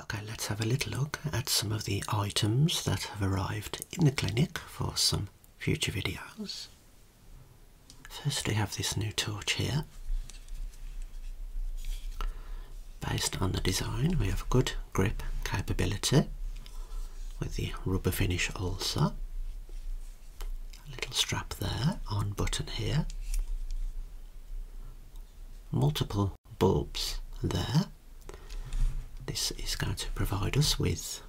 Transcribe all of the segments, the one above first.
Okay, let's have a little look at some of the items that have arrived in the clinic for some future videos. Firstly, we have this new torch here. Based on the design, we have good grip capability with the rubber finish also. A little strap there, on button here. Multiple bulbs there. This is going to provide us with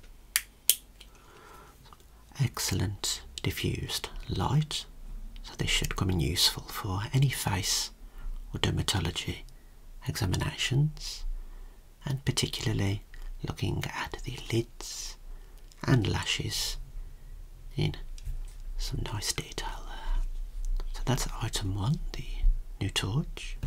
excellent diffused light, so this should come in useful for any face or dermatology examinations, and particularly looking at the lids and lashes in some nice detail there. So that's item one, the new torch.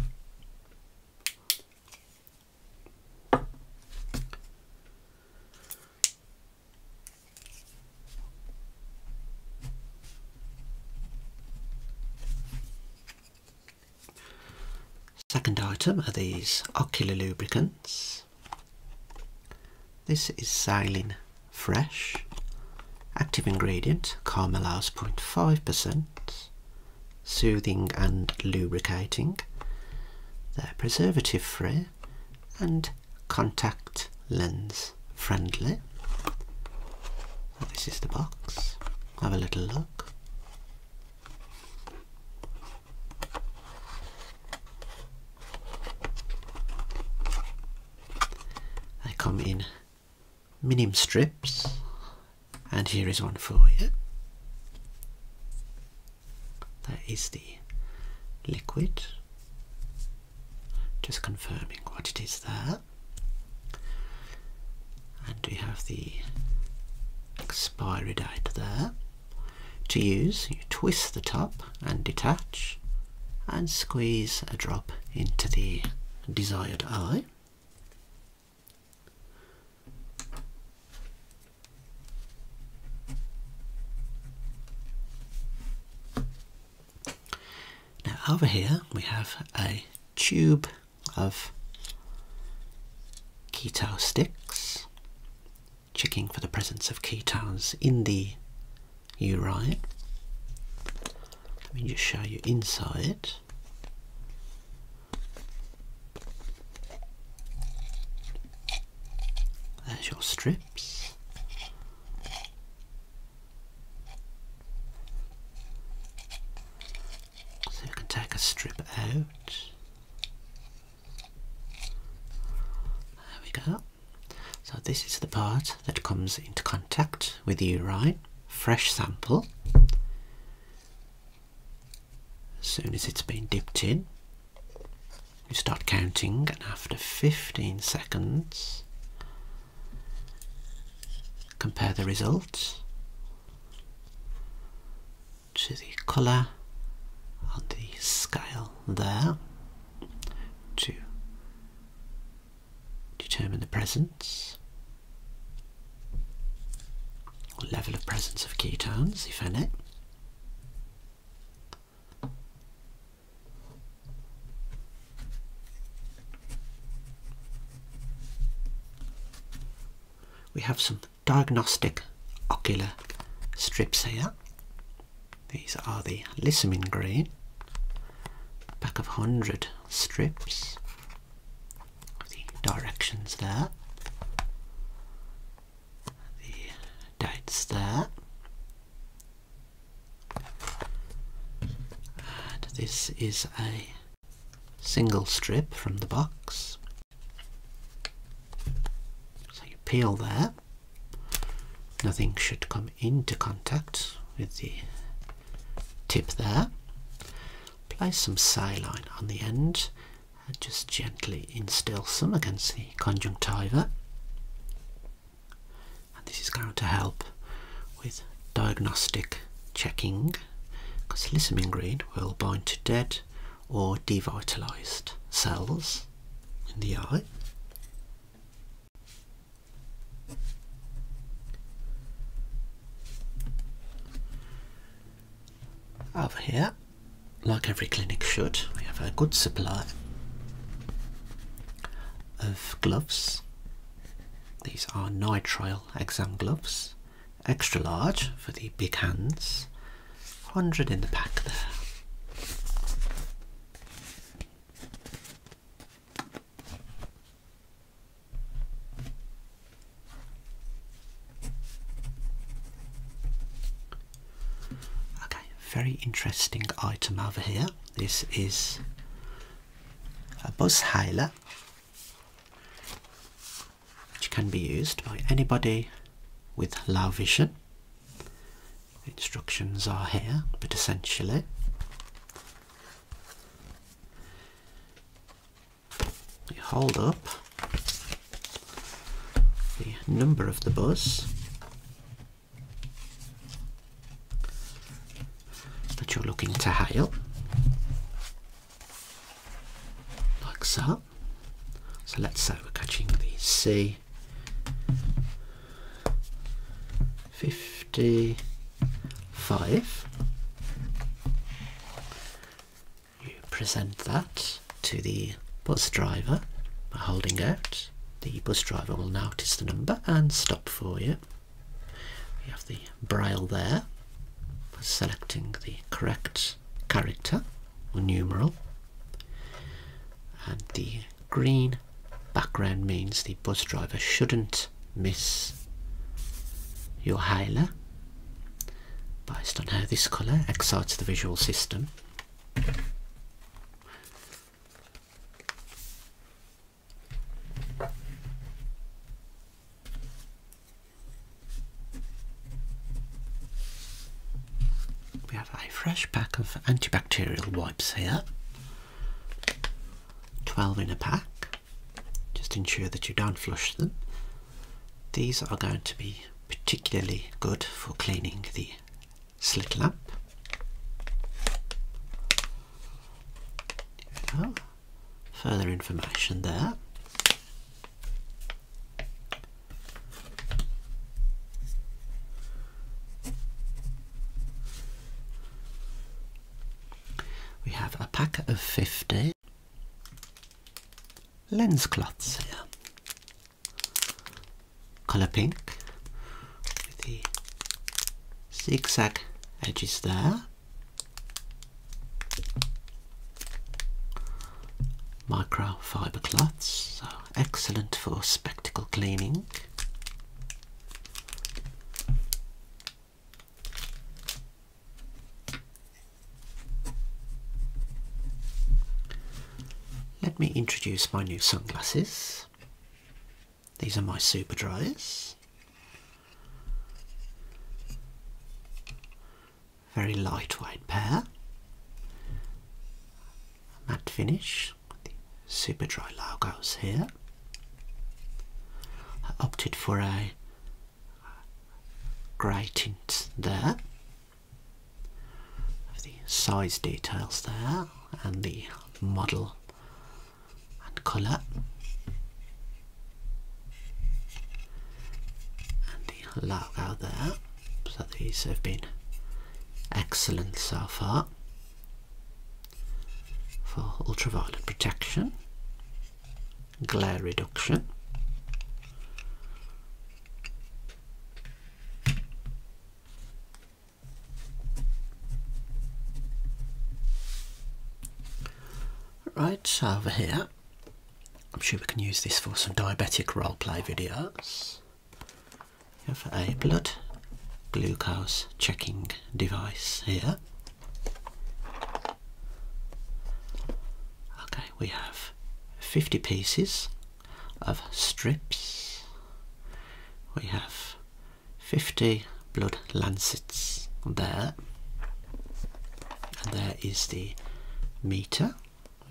Second item are these ocular lubricants. This is saline fresh. Active ingredient, caramel 0.5%, soothing and lubricating. They're preservative free and contact lens friendly. this is the box. Have a little look. They come in minimum strips, and here is one for you. That is the liquid. Just confirming what it is there. And we have the expiry date there. To use, you twist the top and detach and squeeze a drop into the desired eye. Now over here we have a tube of keto sticks, checking for the presence of ketones in the you right. Let me just show you inside. There's your strips. So you can take a strip out. There we go. So this is the part that comes into contact with the urine, fresh sample. As soon as it's been dipped in, you start counting and after 15 seconds, compare the results to the colour on the scale there to Determine the presence, or level of presence of ketones, if any. We have some diagnostic ocular strips here these are the lissamine green, pack of 100 strips, the directions there, the dates there, and this is a single strip from the box. So you peel there Nothing should come into contact with the tip there. Apply some saline on the end and just gently instill some against the conjunctiva. And this is going to help with diagnostic checking because lissamine green will bind to dead or devitalised cells in the eye. Over here, like every clinic should, we have a good supply of gloves. These are nitrile exam gloves, extra large for the big hands, 100 in the pack there. Okay, very interesting item over here. This is a buzz which can be used by anybody with low vision Instructions are here, but essentially you hold up the number of the bus that you're looking to hail, like so. So let's say we're catching the C 55 you present that to the bus driver by holding out the bus driver will notice the number and stop for you you have the braille there for selecting the correct character or numeral and the green background means the bus driver shouldn't miss your hailer based on how this colour excites the visual system a fresh pack of antibacterial wipes here. 12 in a pack. Just ensure that you don't flush them. These are going to be particularly good for cleaning the slit lamp. Further information there. We have a packet of 50 lens clots here. Colour pink the zigzag edges there microfiber cloths, so excellent for spectacle cleaning. Let me introduce my new sunglasses. These are my super dryers. Very lightweight pair. Mat finish the super dry logos here. I opted for a grey tint there. the size details there and the model and colour. And the logo there. So these have been excellent so far for ultraviolet protection, glare reduction. Right, over here, I'm sure we can use this for some diabetic role play videos. We have a blood glucose checking device here. Okay, we have 50 pieces of strips. We have 50 blood lancets there. And there is the meter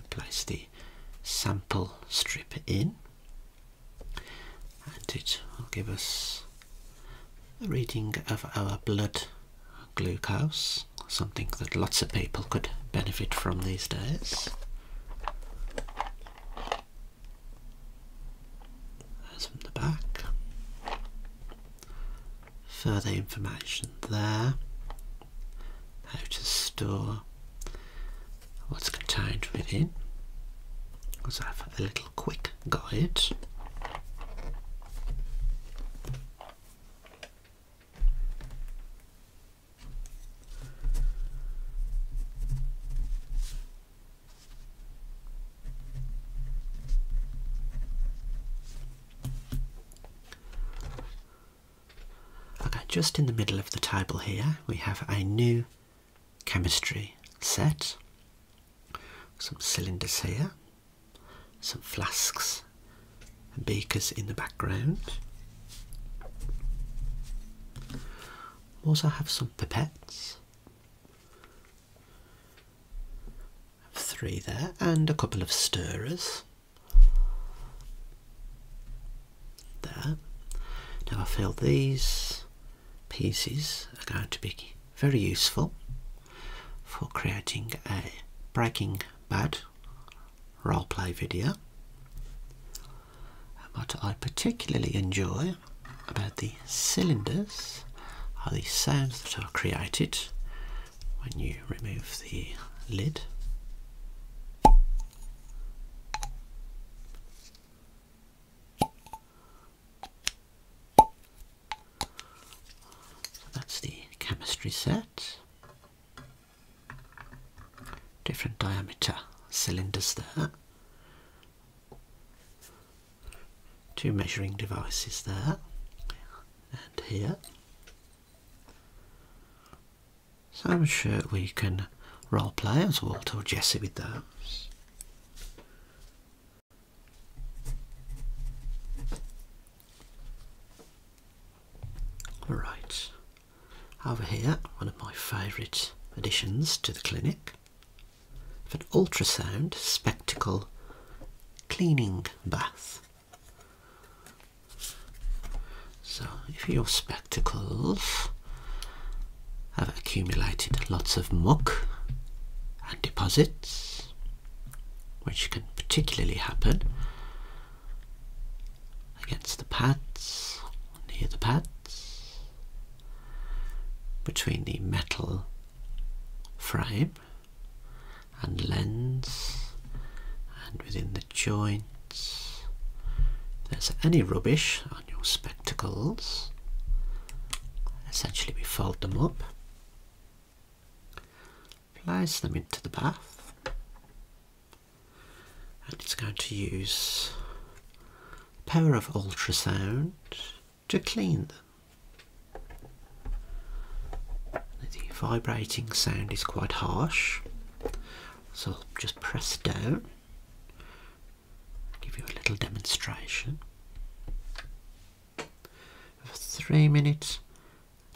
place the sample strip in and it will give us a reading of our blood glucose, something that lots of people could benefit from these days. That's from the back. Further information there how to store what's contained within. Let's have a little quick guide. Okay, just in the middle of the table here we have a new chemistry set. Some cylinders here, some flasks and beakers in the background. Also have some pipettes. Three there and a couple of stirrers. There. Now I feel these pieces are going to be very useful for creating a Breaking Bad roleplay video. what I particularly enjoy about the cylinders are the sounds that are created when you remove the lid. So that's the chemistry set. Different diameter cylinders there. Two measuring devices there and here. So I'm sure we can role play as Walter or Jesse with those. All right, over here, one of my favourite additions to the clinic, an ultrasound spectacle cleaning bath. So, if your spectacles have accumulated lots of muck and deposits, which can particularly happen against the pads, near the pads, between the metal frame and lens and within the joints. there's any rubbish on your spectacles, essentially we fold them up, place them into the bath, and it's going to use power of ultrasound to clean them. The vibrating sound is quite harsh. So I'll just press down, give you a little demonstration three minutes,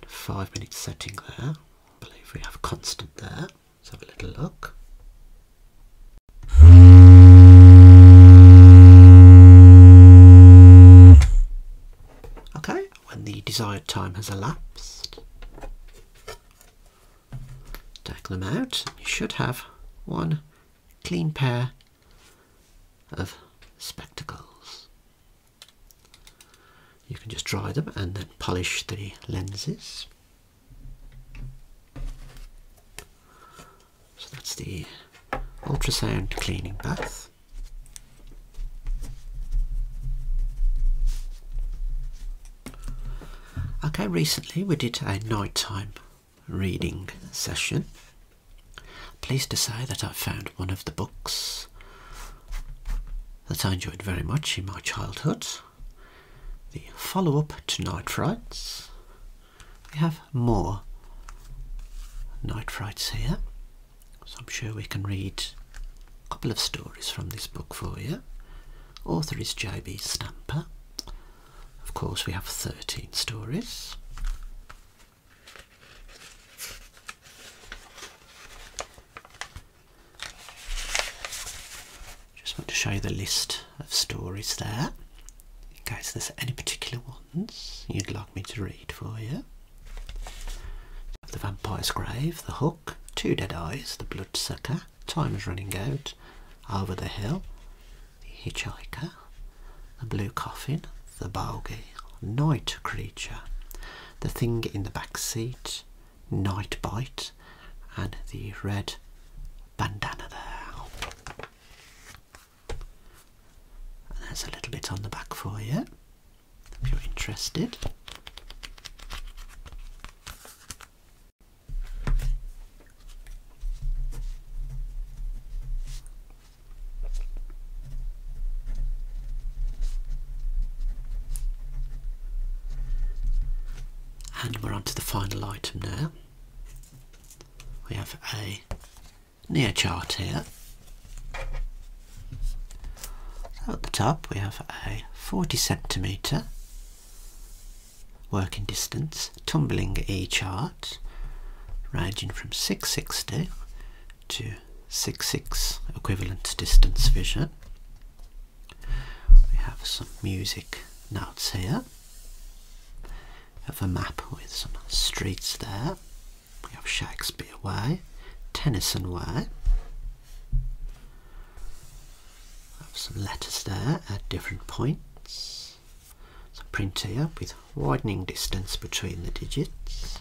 five minutes setting there. believe we have constant there. Let's have a little look. Okay, when the desired time has elapsed. Take them out. You should have one clean pair of spectacles. You can just dry them and then polish the lenses. So that's the ultrasound cleaning bath. Okay, recently we did a nighttime reading session. Pleased to say that I found one of the books that I enjoyed very much in my childhood. The follow up to Night Frights. We have more Night Frights here. So I'm sure we can read a couple of stories from this book for you. Author is J.B. Stamper. Of course, we have 13 stories. Just want to show you the list of stories there, Guys, case there's any particular ones you'd like me to read for you. The Vampire's Grave, The Hook, Two Dead Eyes, The Bloodsucker, Time is Running Out, Over the Hill, The Hitchhiker, The Blue Coffin, The Bogey, Night Creature, The Thing in the Back Seat, Night Bite, and the red bandana there. And there's a little bit on the back for you if you're interested. And we're on to the final item now. We have a near chart here so at the top we have a 40 centimetre working distance tumbling E chart ranging from 660 to 66 equivalent distance vision. We have some music notes here. We have a map with some streets there. We have Shakespeare Way, Tennyson Way. Have some letters there at different points. So print here with widening distance between the digits.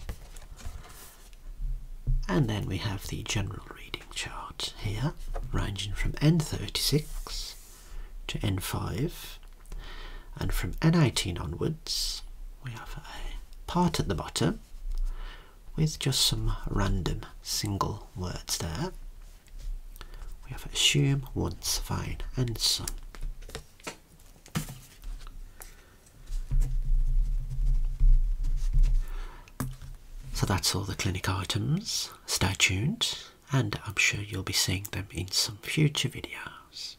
And then we have the general reading chart here, ranging from N36 to N5 and from N18 onwards we have a part at the bottom with just some random single words there. We have assume, once, fine, and some. So that's all the clinic items. Stay tuned and I'm sure you'll be seeing them in some future videos.